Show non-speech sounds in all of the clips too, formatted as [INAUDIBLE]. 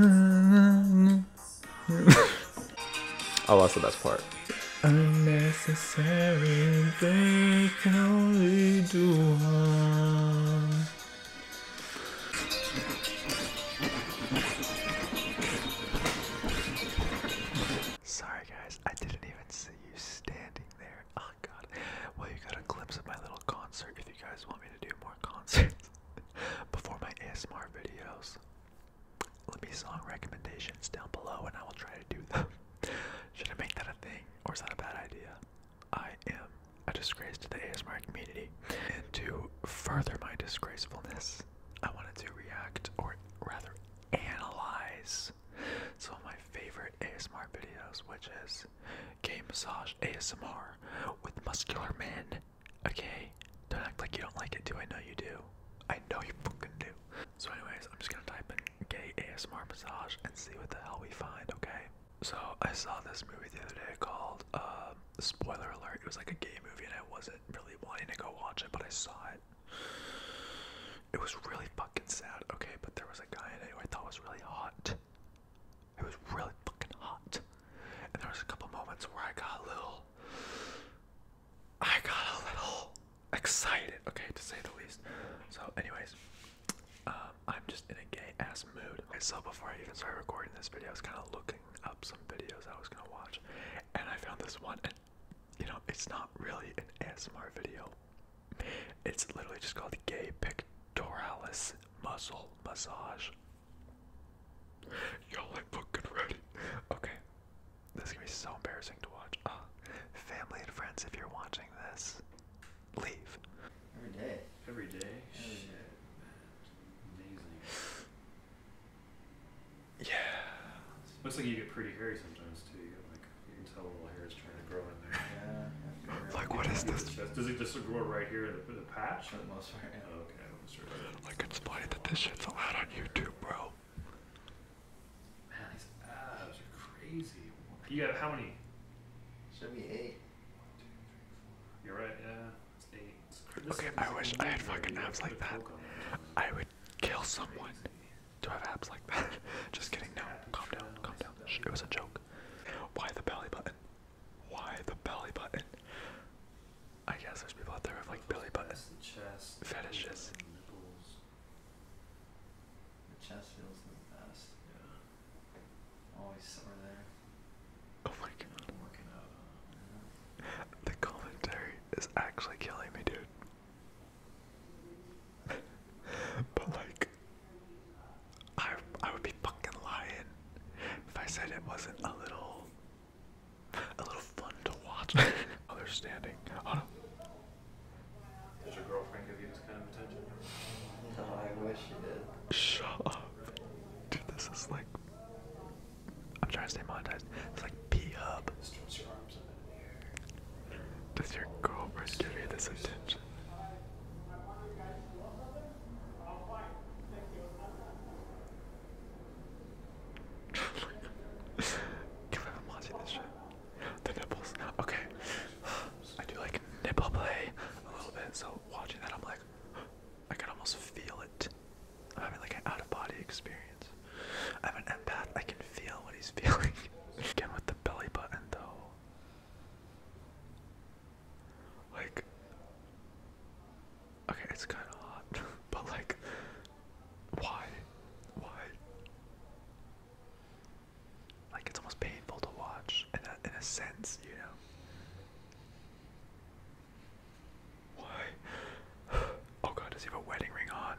oh, that's the best part. Unnecessary, they can only do harm. Sorry, guys, I didn't even see you standing there. Oh, God. Well, you got a glimpse of my little concert if you guys want me to do more concerts. [LAUGHS] before my ASMR videos. Let me song recommendations down below and I will try to do them. [LAUGHS] Should I make that a thing or is that a bad idea? I am a disgrace to the ASMR community. And to further my disgracefulness, I wanted to react or rather analyze some of my favorite ASMR videos, which is Game Massage ASMR with Muscular Men Okay, don't act like you don't like it, Do I know you do. I know you fucking do. So, anyways, I'm just gonna type in gay ASMR massage and see what the hell we find, okay? So, I saw this movie the other day called, uh, spoiler alert, it was like a gay movie and I wasn't really wanting to go watch it, but I saw it. It was really fucking sad, okay? But there was a guy in it who I thought was really hot. It was really fucking hot. And there was a couple moments where I got a little I got a little excited, okay, to say the least. So anyways, um, I'm just in a gay ass mood. Okay, so before I even started recording this video, I was kinda looking up some videos I was gonna watch and I found this one and you know, it's not really an ASMR video. It's literally just called Gay Pictoralis muscle massage. Y'all ain't fucking ready. Okay. This is gonna be so embarrassing to watch. Uh, family and friends, if you're watching this, leave. Every day. Every day. Every day. Amazing. Yeah. Looks like you get pretty hairy sometimes too. You like you can tell little hair is trying to grow in there. Yeah. Like, what is this? Does it just grow right here in the, patch? most part, yeah. oh, okay, i Like, it's funny that this shit's allowed on YouTube, bro. Man, these abs are crazy. You got how many? Should be eight. three, four. You're right, yeah. okay, I wish I had fucking abs like that. I would kill someone to have abs like that. [LAUGHS] just kidding, no. Calm down, calm down. it was a joke. Why the belly button? Why the belly button? I guess there's people out there with like belly button chest, fetishes. The nipples. The chest feels the best. Yeah. Always summer there. Oh my god. The commentary is actually killing me, dude. [LAUGHS] but like I I would be fucking lying if I said it wasn't a little a little fun to watch. [LAUGHS] oh, they're standing. Oh no. Does your girlfriend give you this kind of attention? No, oh, I wish she did. Shut up. Dude, this is like I'm trying to stay monetized. It's like P hub. Does your girlfriend give you this attention? Can't believe I'm watching this shit. The nipples. Okay. I do like nipple play a little bit, so watching that I'm like, I can almost feel it. I'm having like an out of body experience. I'm an empath, I can feel what he's [LAUGHS] feeling. Again with the belly button though. Like, okay, it's kind of hot, [LAUGHS] but like, why? Why? Like, it's almost painful to watch in a, in a sense, you know? Why? [SIGHS] Oh god, does he have a wedding ring on?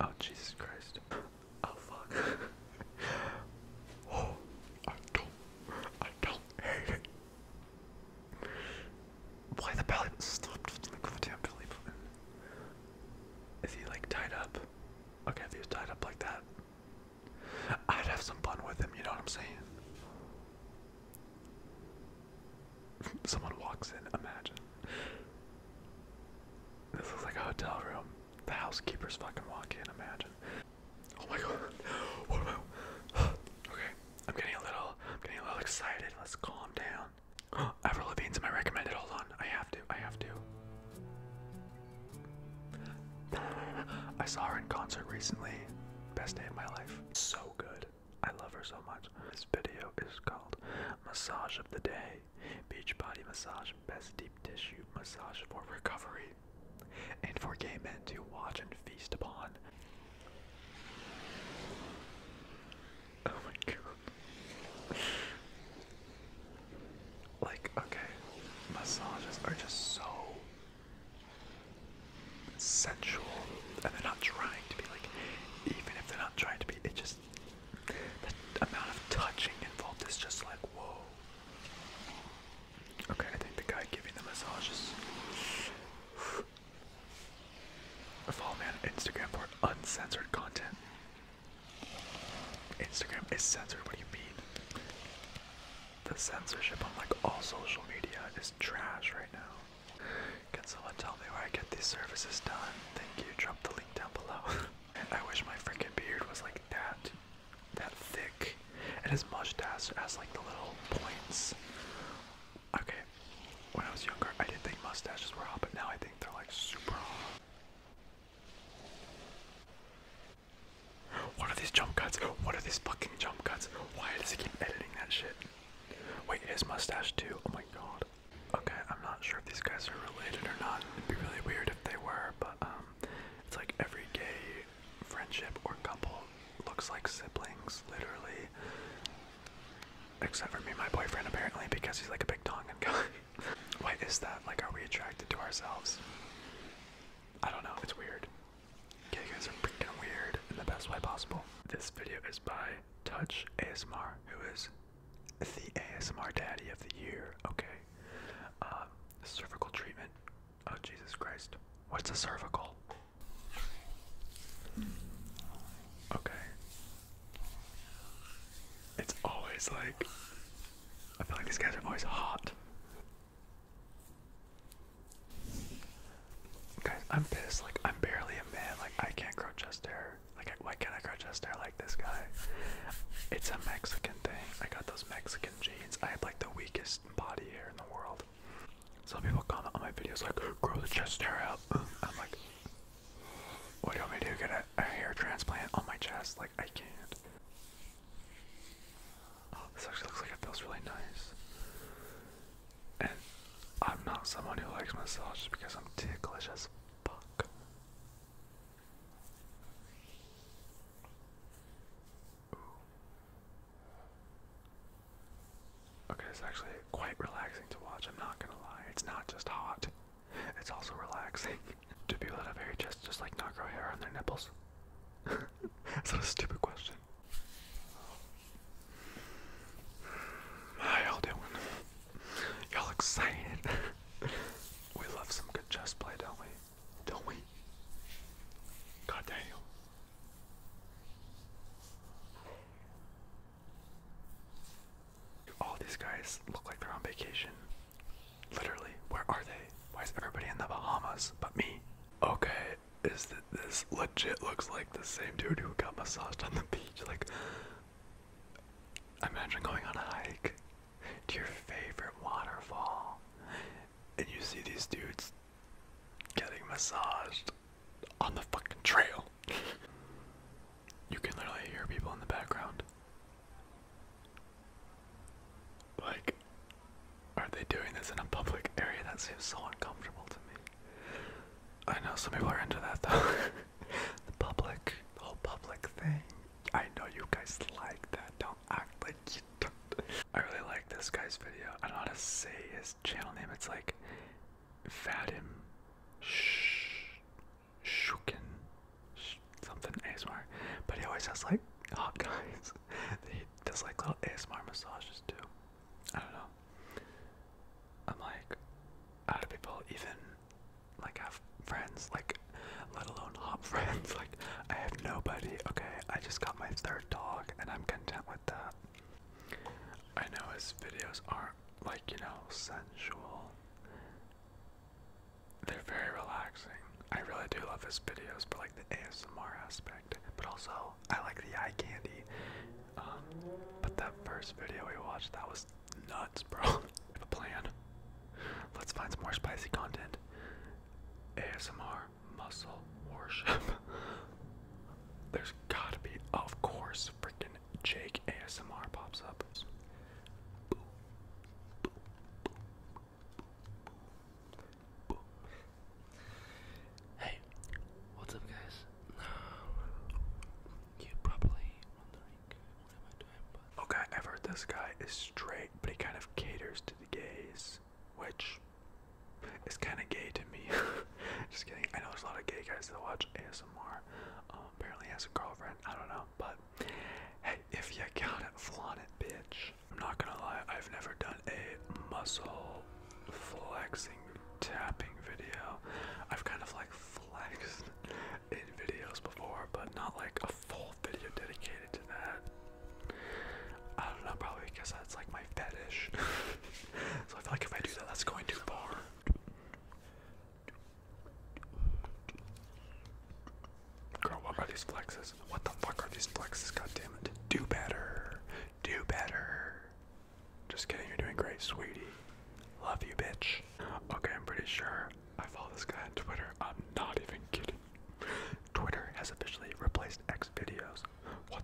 Oh, Jesus Christ. [LAUGHS] Oh, fuck. [LAUGHS] oh, I don't I don't hate it. Why the belly stop Is he like tied up? Okay, if he tied up like that, I'd have some fun with him, you know what I'm saying? [LAUGHS] Someone walks in, imagine. This looks like a hotel room. The housekeeper's fucking walk in, imagine. Oh my god. I? Okay, I'm getting a little, I'm getting a little excited. Let's calm down. [GASPS] Avril Lavigne's my recommended. Hold on, I have to, I have to. [SIGHS] I saw her in concert recently. Best day of my life. So good. I love her so much. This video is called Massage of the Day. Beach body massage, best deep tissue massage for recovery and for gay men to watch and feast upon. Oh my god. like, okay, massages are just so sensual, and they're not trying to be like, even if they're not trying to be, it just, the amount of touching involved is just like, whoa. Okay, I think the guy giving the massages. [SIGHS] Follow me Instagram for uncensored content. Instagram is censored, what do you mean? The censorship on like all social media is trash right now. Can someone tell me where I get these services done? Thank you, drop the link down below. [LAUGHS] I wish my freaking beard was like that that thick, and his mustache as like the little points. Okay, when I was younger, I didn't think mustaches were hot, but now I think they're like super hot. What are these jump cuts? What are these fucking jump cuts? Why does he keep editing that shit? Wait, his mustache too? Oh my god. Okay, I'm not sure if these guys are related or not. It'd be really weird if they were, but um it's like every gay friendship or couple looks like siblings, literally. Except for me and my boyfriend, apparently, because he's like a big Tongan guy. [LAUGHS] Why is that? Like, are we attracted to ourselves? I don't know, it's weird. Gay guys are freaking weird in the best way possible. This video is by Touch ASMR, who is the ASMR daddy of the year, okay? Uh, cervical treatment. Oh, Jesus Christ. What's a cervical? Okay. It's always like. I feel like these guys are always hot. Guys, I'm pissed. Like, I'm barely a man. Like, I can't grow chest hair. Like, why can't I grow chest hair like this guy? It's a Mexican dang, I got those Mexican jeans. I have like the weakest body hair in the world. Some people comment on my videos like, grow the chest hair out. I'm like, what do you want me to do? Get a, hair transplant on my chest? Like, I can't. Oh, this actually looks like it feels really nice. And I'm not someone who likes myself just because I'm ticklish as fuck. Okay, it's actually quite relaxing to watch, I'm not gonna lie. It's not just hot, it's also relaxing. Do people that have hairy chests just like not grow hair on their nipples? [LAUGHS] That's not a stupid question. [SIGHS] How all doing? Y'all excited? [LAUGHS] We love some good chess play, don't we? Don't we? God damn. All these guys look like they're on vacation. Literally, where are they? Why is everybody in the Bahamas but me? Okay, is that this legit looks like the same dude who got massaged on the beach? Like, imagine going on a hike to your favorite waterfall, and you see these dudes getting massaged on the fucking trail. you can literally hear people in the background. Like, are they doing this in a public area? That seems so uncomfortable to me. I know some people are into that though. [LAUGHS] the public, the whole public thing. I know you guys like that. Don't act like you don't. I really like this guy's video. I don't know how to say his channel name. It's like Vadim Sh Shukin something ASMR. But he always has like hot guys. [LAUGHS] he does like little ASMR massages too. I don't know. I'm like, how do people even like have friends, like let alone hot [LAUGHS] friends. Like I have nobody. Okay, I just got my third dog, and I'm content with that. I know his videos aren't like you know sensual. They're very relaxing. I really do love his videos, but like the ASMR aspect. But also, I like the eye candy. Um, but that first video we watched, that was nuts, bro. [LAUGHS] I have a plan. Let's find some more spicy content. ASMR muscle worship. [LAUGHS] There's gotta be, of course, freaking Jake ASMR pops up. Hey, what's up, guys? You probably okay, I've heard this guy is straight, but he kind of caters to the gays, which is kind of gay to me. [LAUGHS] Just kidding. I know there's a lot of gay guys that watch ASMR. Um, apparently, has a girlfriend. I don't know, but hey, if you got it, flaunt it, bitch. I'm not gonna lie. I've never done a muscle flexing tapping video. I've kind of like flexed in videos before, but not like a full video dedicated to that. I don't know, probably because that's like my fetish. [LAUGHS] so I feel like if I do that, that's going too far. Girl, what are these flexes? What the fuck are these flexes? God Do better. Do better. Just kidding, you're doing great, sweetie. Love you, bitch. Okay, I'm pretty sure I follow this guy on Twitter. I'm not even kidding. Twitter has officially replaced X videos. What?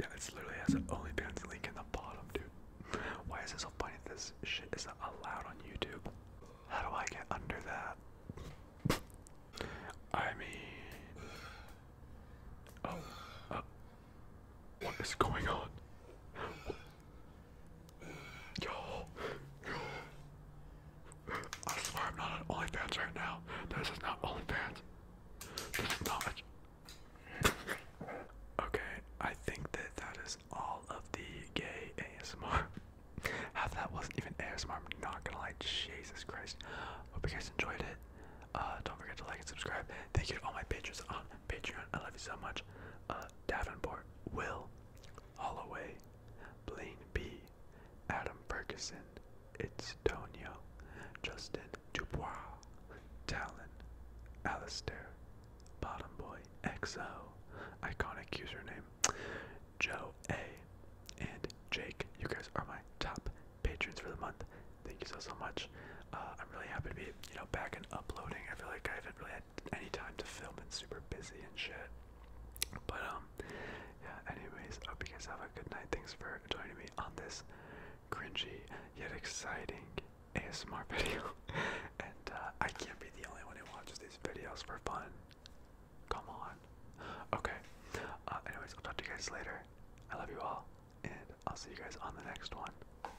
Yeah, it's literally has an OnlyFans link in the bottom, dude. Why is this so funny this shit isn't allowed on YouTube? How do I get under that? I mean. Oh. Uh, what is going on? Yo, yo. I swear I'm not on OnlyFans right now. This is not OnlyFans. This Okay, I think that that is all of the gay ASMR. Half [LAUGHS] that wasn't even ASMR, I'm not gonna lie. Jesus Christ. Hope you guys enjoyed it. Uh, don't forget to like and subscribe. Thank you to all my patrons on Patreon, I love you so much. Uh, Davenport, Will, Holloway, Blaine B, Adam Ferguson, It's Tonio, Justin Dubois, Talon, Alastair, Bottom Boy, XO, Iconic Username, Joe A, and Jake. You guys are my top patrons for the month. Thank you so so much. Uh, I'm really happy to be you know back and uploading. I feel like I haven't really had any time to film and super busy and shit. But um, yeah. Anyways, hope you guys have a good night. Thanks for joining me on this cringy yet exciting ASMR [LAUGHS] video. and uh, I can't be the only one who watches these videos for fun. Come on. Okay. Uh, anyways, I'll talk to you guys later. I love you all, and I'll see you guys on the next one.